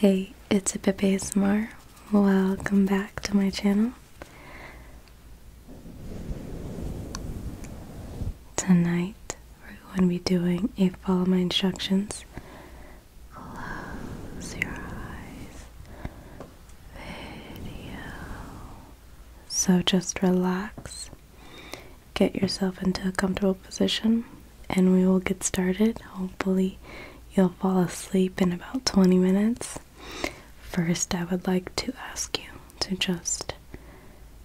Hey, it's Pepe Smar. Welcome back to my channel. Tonight we're going to be doing a follow my instructions. Close your eyes video. So just relax get yourself into a comfortable position and we will get started. Hopefully, you'll fall asleep in about 20 minutes. First, I would like to ask you to just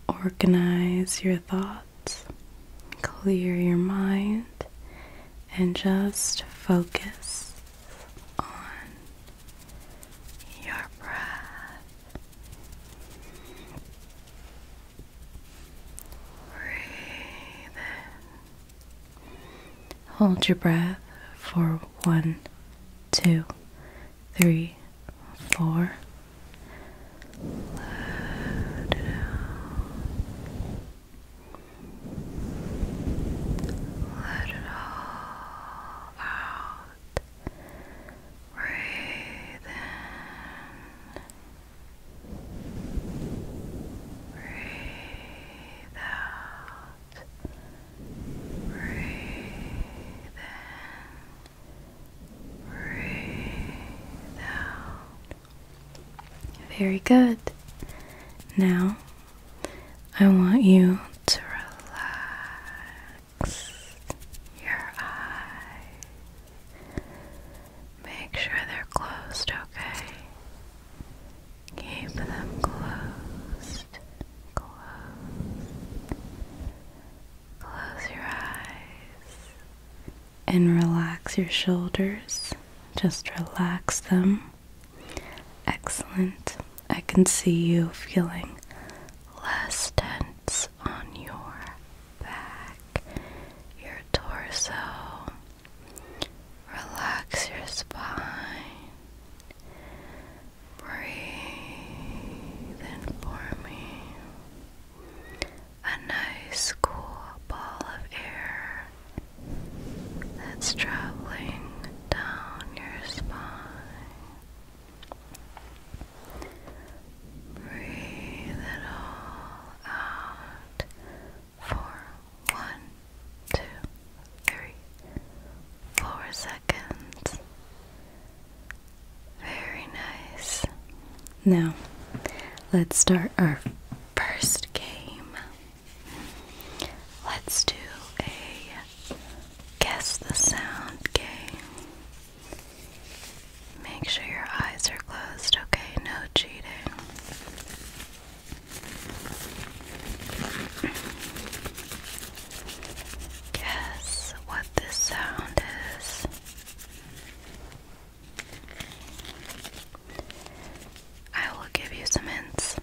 organize your thoughts, clear your mind, and just focus on your breath. Breathe in. Hold your breath for one, two, three, four. Let it out. Let it all out. Breathe in. Breathe out. Breathe in. Breathe out. Very good. Now, I want you to relax your eyes. Make sure they're closed, okay? Keep them closed. Close. Close your eyes and relax your shoulders. Just relax them. Excellent. I can see you feeling less tense on your back, your torso, relax your spine. Breathe in for me. A nice cool ball of air that's traveling down your spine. Breathe it all out for one, two, three, four seconds. Very nice. Now, let's start our first game. Let's do a guess the sound game. Make sure your eyes are closed, okay? No cheating. Guess what this sound is? I will give you some hints.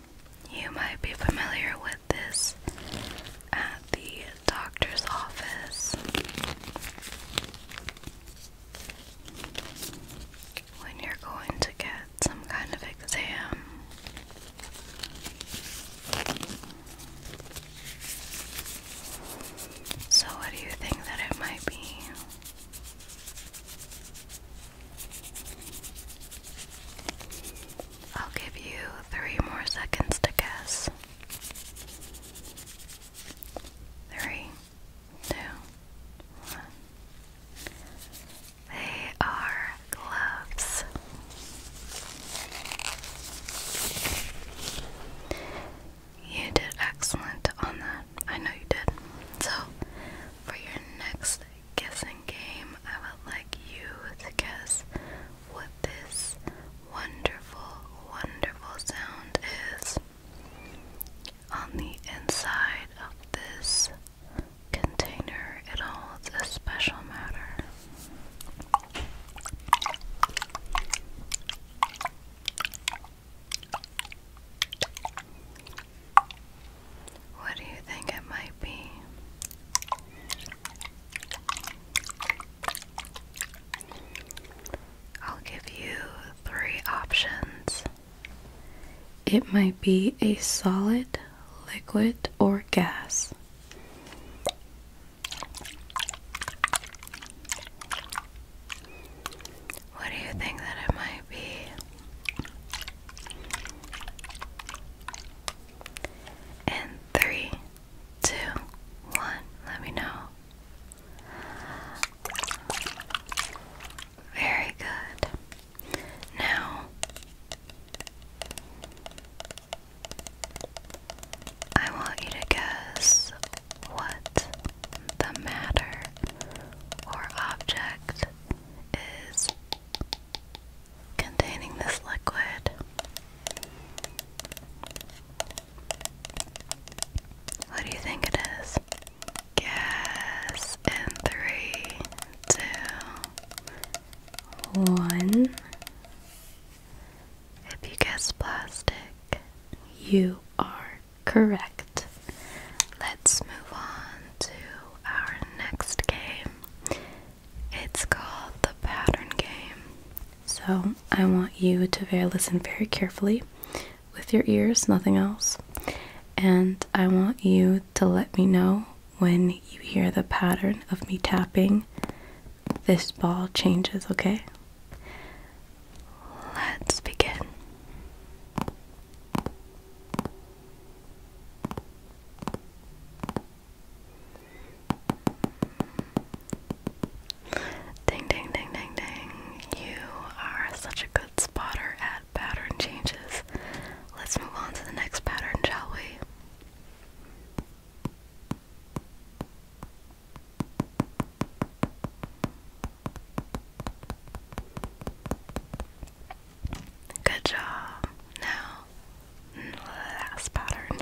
You might be familiar with this at the doctor's office. When you're going to get some kind of exam, so what do you think that it might be? I'll give you three more seconds to guess three, two, one. They are gloves. You did excellent on that. I know you did. So, for your next guessing game, I would like you to guess what this wonderful, wonderful sound is on the inside of this container. It holds a special matter. What do you think it might be? I'll give you three options. It might be a solid, liquid, or gas. What do you think that it might be? And three, two, one, let me know. Very good. Now, I want you to guess what the matter or object is containing this liquid. What do you think it is? Guess in three, two, one. If you guess plastic, you are correct. Let's move on to our next game. It's called the pattern game. So I want you to listen very carefully with your ears, nothing else. And I want you to let me know when you hear the pattern of me tapping, this ball changes, okay? Let's begin. Ding, ding, ding, ding, ding. You are such a good spotter at pattern changes. Let's move on to the next pattern, shall we? Good job. Now, last pattern.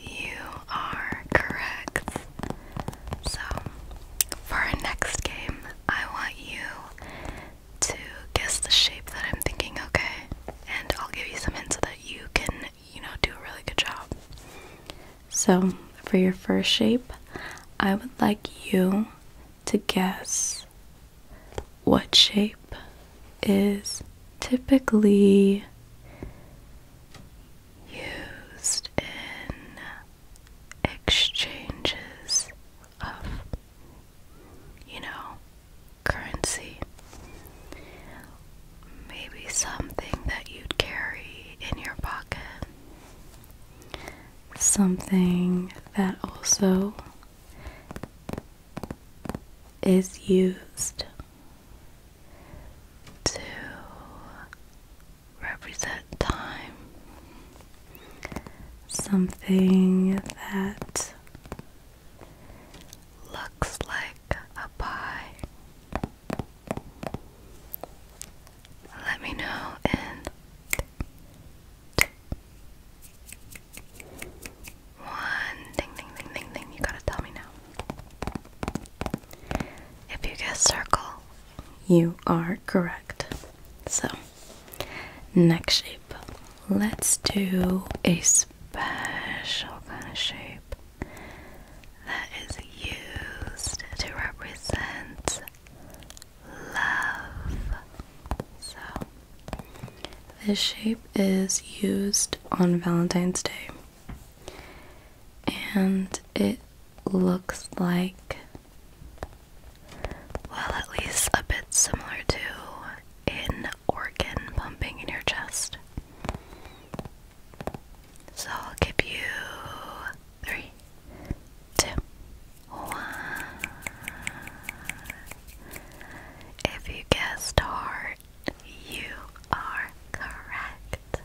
You are correct. So, for our next game, I want you to guess the shape that I'm thinking, okay? And I'll give you some hints so that you can, you know, do a really good job. So, for your first shape, I would like you to guess what shape is typically used in exchanges of, you know, currency. Maybe something that you'd carry in your pocket something that also is used to represent time, something that looks like a pie. Let me know in one thing, thing, thing, thing, thing, you gotta tell me now. If you guess circle, you are correct. So, next shape. Let's do a special kind of shape that is used to represent love. So, this shape is used on Valentine's Day, and it looks like, well, at least a bit similar to an organ pumping in your chest. So, I'll give you three, one. If you guessed hard, you are correct.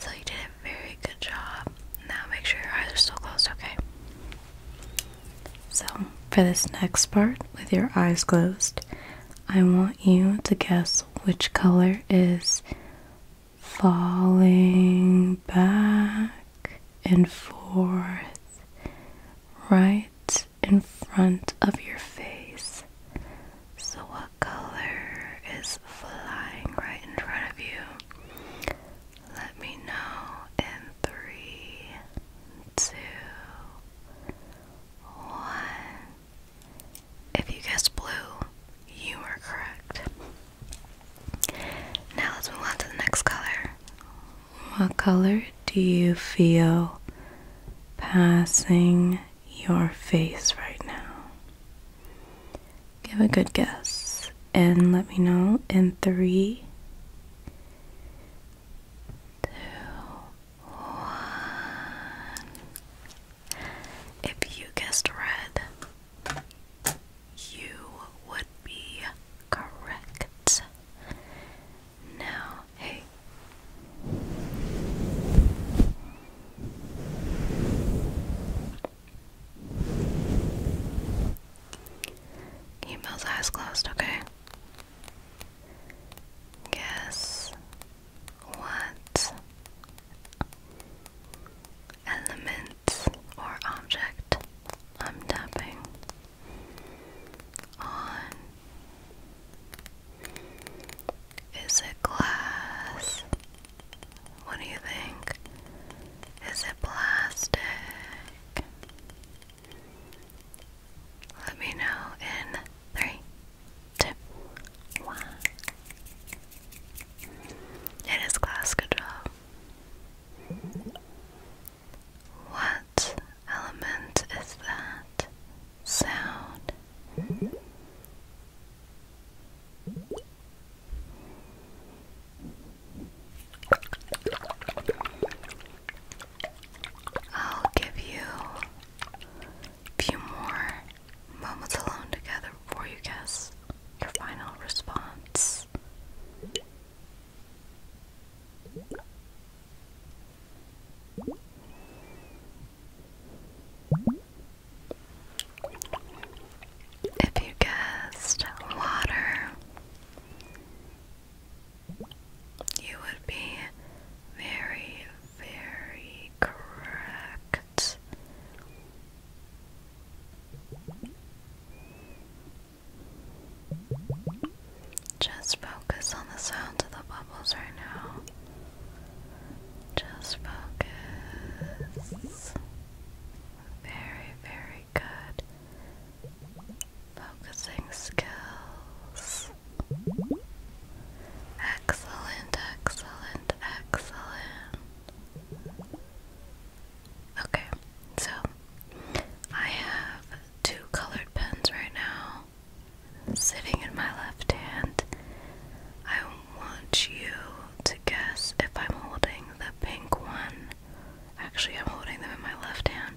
So you did a very good job. Now make sure your eyes are still closed, okay? So, for this next part, with your eyes closed, I want you to guess which color is falling back and forth right in front of your face. So, what color is flying right in front of you? Let me know in three, two, one. If you guessed blue, you are correct. Now let's move on to the next color. What color do you feel passing your face right now? Give a good guess and let me know in three, two, one. If you guessed red, you would be correct. Now, hey. Keep those eyes closed, okay? Guess what element or object I'm tapping on. Is it glass? What do you think? Is it plastic? Let me know in three, two, it is glass control. What element is that? Sound. I'll give you a few more Moments alone together before you guess your final response. If you guessed water, you would be very, very correct. Just focus on the sound of the bubbles right now. Just focus. Very, very good. Focusing skills. Excellent, excellent, excellent. Okay, so I have two colored pens right now sitting in my left hand. I want you to guess if I'm holding the pink one. Actually, I'm holding them in my left hand.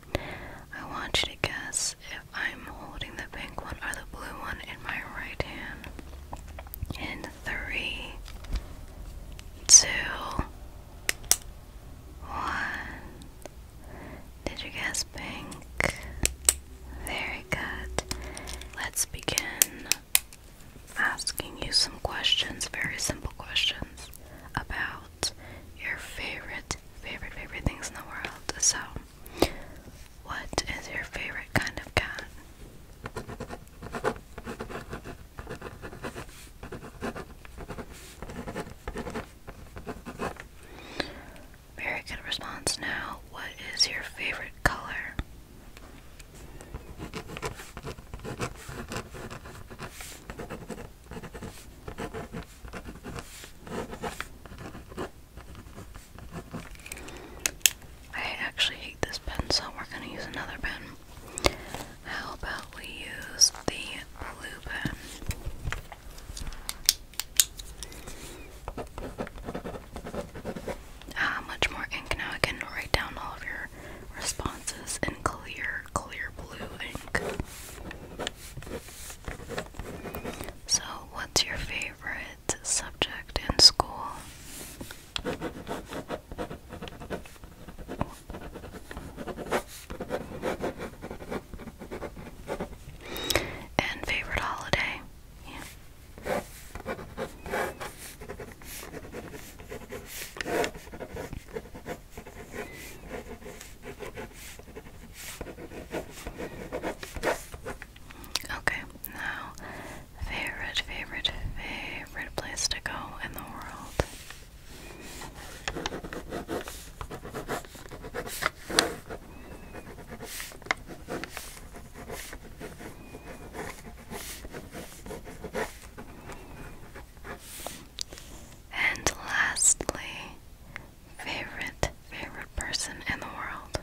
I want you to guess if I'm holding the pink one or the blue one in my right hand three, two, one. Did you guess pink? Very good. Let's begin asking you some questions, very simple questions, about your favorite, favorite, favorite things in the world. So, what is your favorite kind of cat? Very good response now. What is your favorite color? I actually hate this pen, so we're gonna use another pen. How about we use the blue pen? How ah, much more ink now. I can write down all of your responses in clear, clear blue ink. So, what's your favorite subject in school? And favorite holiday. Yeah. Okay, now favorite, favorite, favorite place to go in the world. And lastly, favorite, favorite person in the world.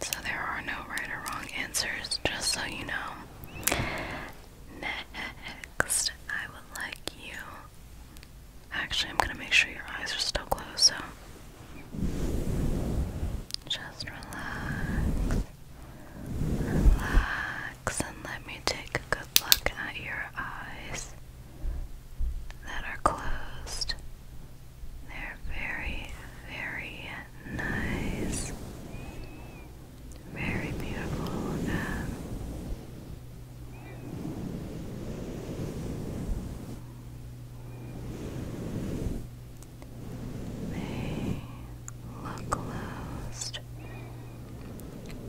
So there are no right or wrong answers, just so you know. Next, I would like you. Actually, I'm gonna make sure your eyes are still closed, so just relax. Relax and let me take a good look at your eyes that are closed. They're very, very nice. Very beautiful to um, They closed.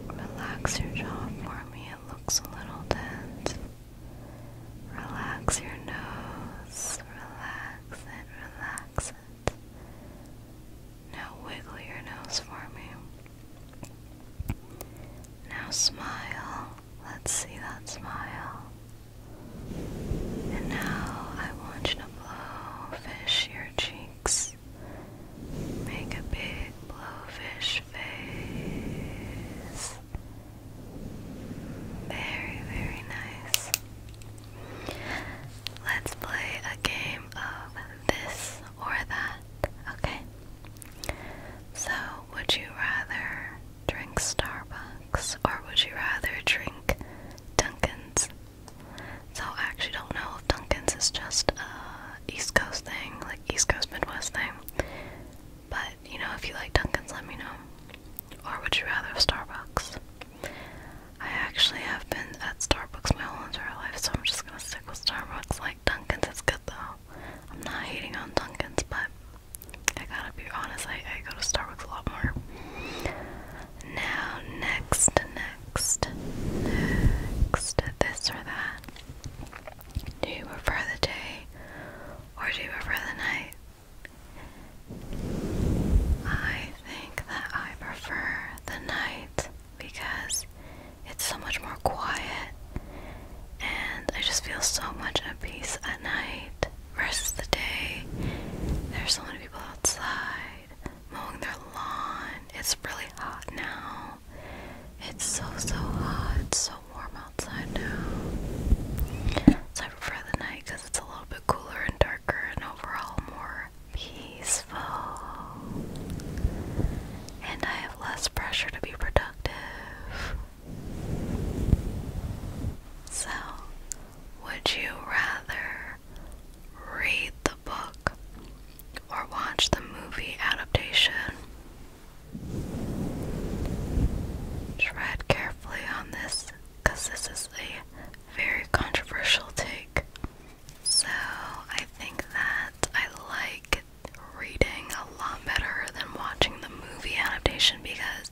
Relax your jaw for me, it looks a little tense. Relax your nose, relax it, relax it. Now wiggle your nose for me. Now smile, let's see that smile. And now I want you to blow fish your cheeks. Make a big blowfish face. Very, very nice. Let's play a game of this or that, okay? So, would you rather drink Starbucks or would you rather drink Dunkin's so I actually don't know if Dunkin's is just a East Coast thing, like East Coast Midwest thing. But you know, if you like Dunkin's, let me know. Or would you rather have Starbucks? I actually have been at Starbucks my whole entire life, so I'm just gonna stick with Starbucks. Like Dunkin's is good though. I'm not hating on Dunkin's, but I gotta be honest, I go to Starbucks a lot more. Now, next, next, next, this or that. Do you prefer the day or do you prefer the night? I think that I prefer the night because it's so much more quiet and I just feel so much at peace at night versus the day. There's so many people outside mowing their lawn. It's really hot now. It's so, so hot. It's so warm outside now. So I prefer the night because it's a little bit cooler and darker and overall more peaceful. And I have less pressure to be productive. So, would you rather read the book or watch the movie adaptation. Tread carefully on this because this is a very controversial take. So I think that I like reading a lot better than watching the movie adaptation because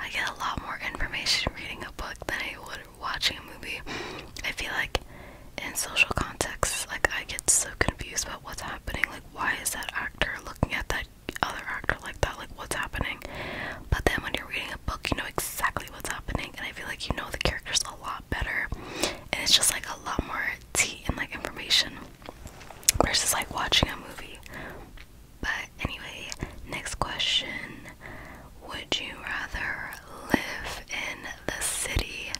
I get a lot more information reading a book than I would watching a movie, I feel like in social contexts, like I get so confused about what's happening. Like, why is that actor looking at that other actor like that? Like, what's happening? But then when you're reading a book, you know exactly what's happening, and I feel like you know the characters a lot better, and it's just like a lot more tea and like information versus like watching a movie. But anyway, next question. Would you rather live in the city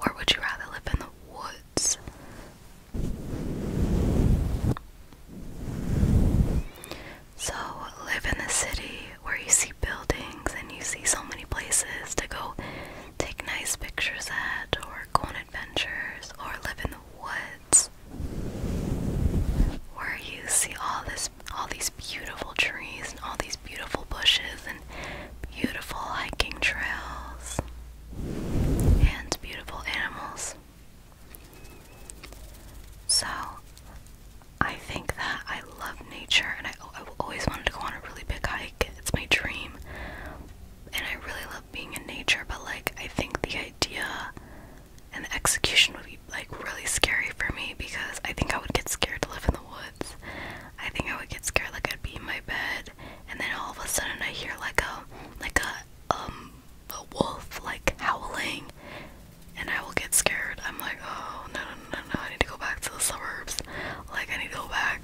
or would you rather live in the woods? So, live in the city where you see buildings and you see so many places to go take nice pictures at or go on adventures, or live in the woods where you see all this all these beautiful trees and all these beautiful bushes and beautiful hiking trails and beautiful animals. So I think that I love nature and I, I always wanted to go on a really big hike. It's my dream. And I really love being in nature, but like I think the idea and the execution would be like really scary for me because I think I would get scared to live in the woods. I think I would get scared like I'd be in my bed and then all of a sudden I hear like a like a um a wolf like howling and I will get scared. I'm like, oh no no no no I need to go back to the suburbs. Like I need to go back.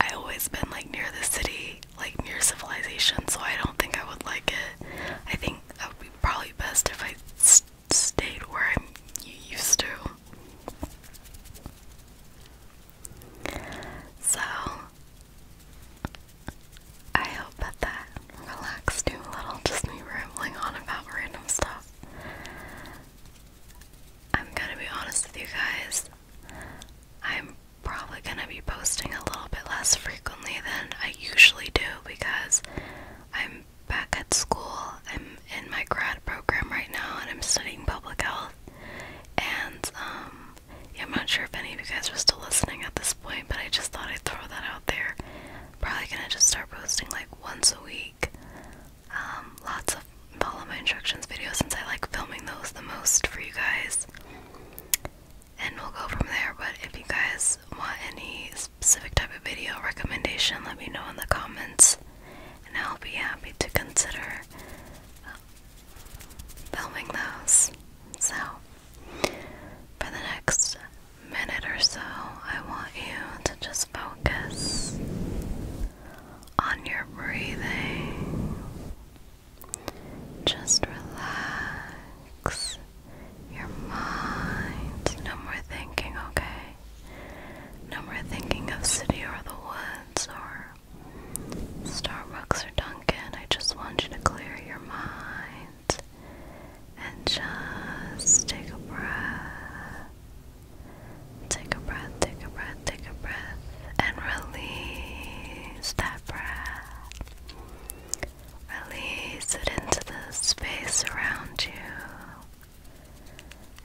I always been like near the city, like near civilization, so I don't think I would like it. I think I would be probably best if I st stayed where I'm, used to. So, I hope that that relaxed you a little, just me rambling on about random stuff. I'm gonna be honest with you guys, I'm probably gonna be posting a little bit less frequently than I usually do because I'm back at school. I'm in my grad program right now and I'm studying public health. And um, I'm not sure if any of you guys are still listening at this point, but I just thought I'd throw that out there. Probably gonna just start posting like once a week. Um, lots of follow my instructions videos since I like filming those the most for you guys and we'll go from there. But if you guys want any specific type of video recommendation, let me know in the comments, and I'll be happy to consider uh, filming those. So, for the next minute or so, I want you to just focus on your breathing. Just relax your mind. No more thinking, okay? No more thinking of city or the woods or Starbucks or Dunkin'. I just want you to clear your mind and just take a breath. Take a breath, take a breath, take a breath, and release that breath. Release it into the space around you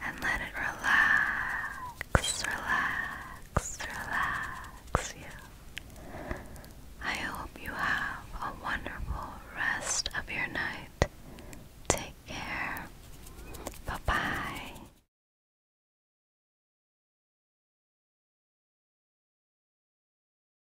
and let it relax, relax, relax you. I hope you have a wonderful rest of your night. Take care. Bye bye.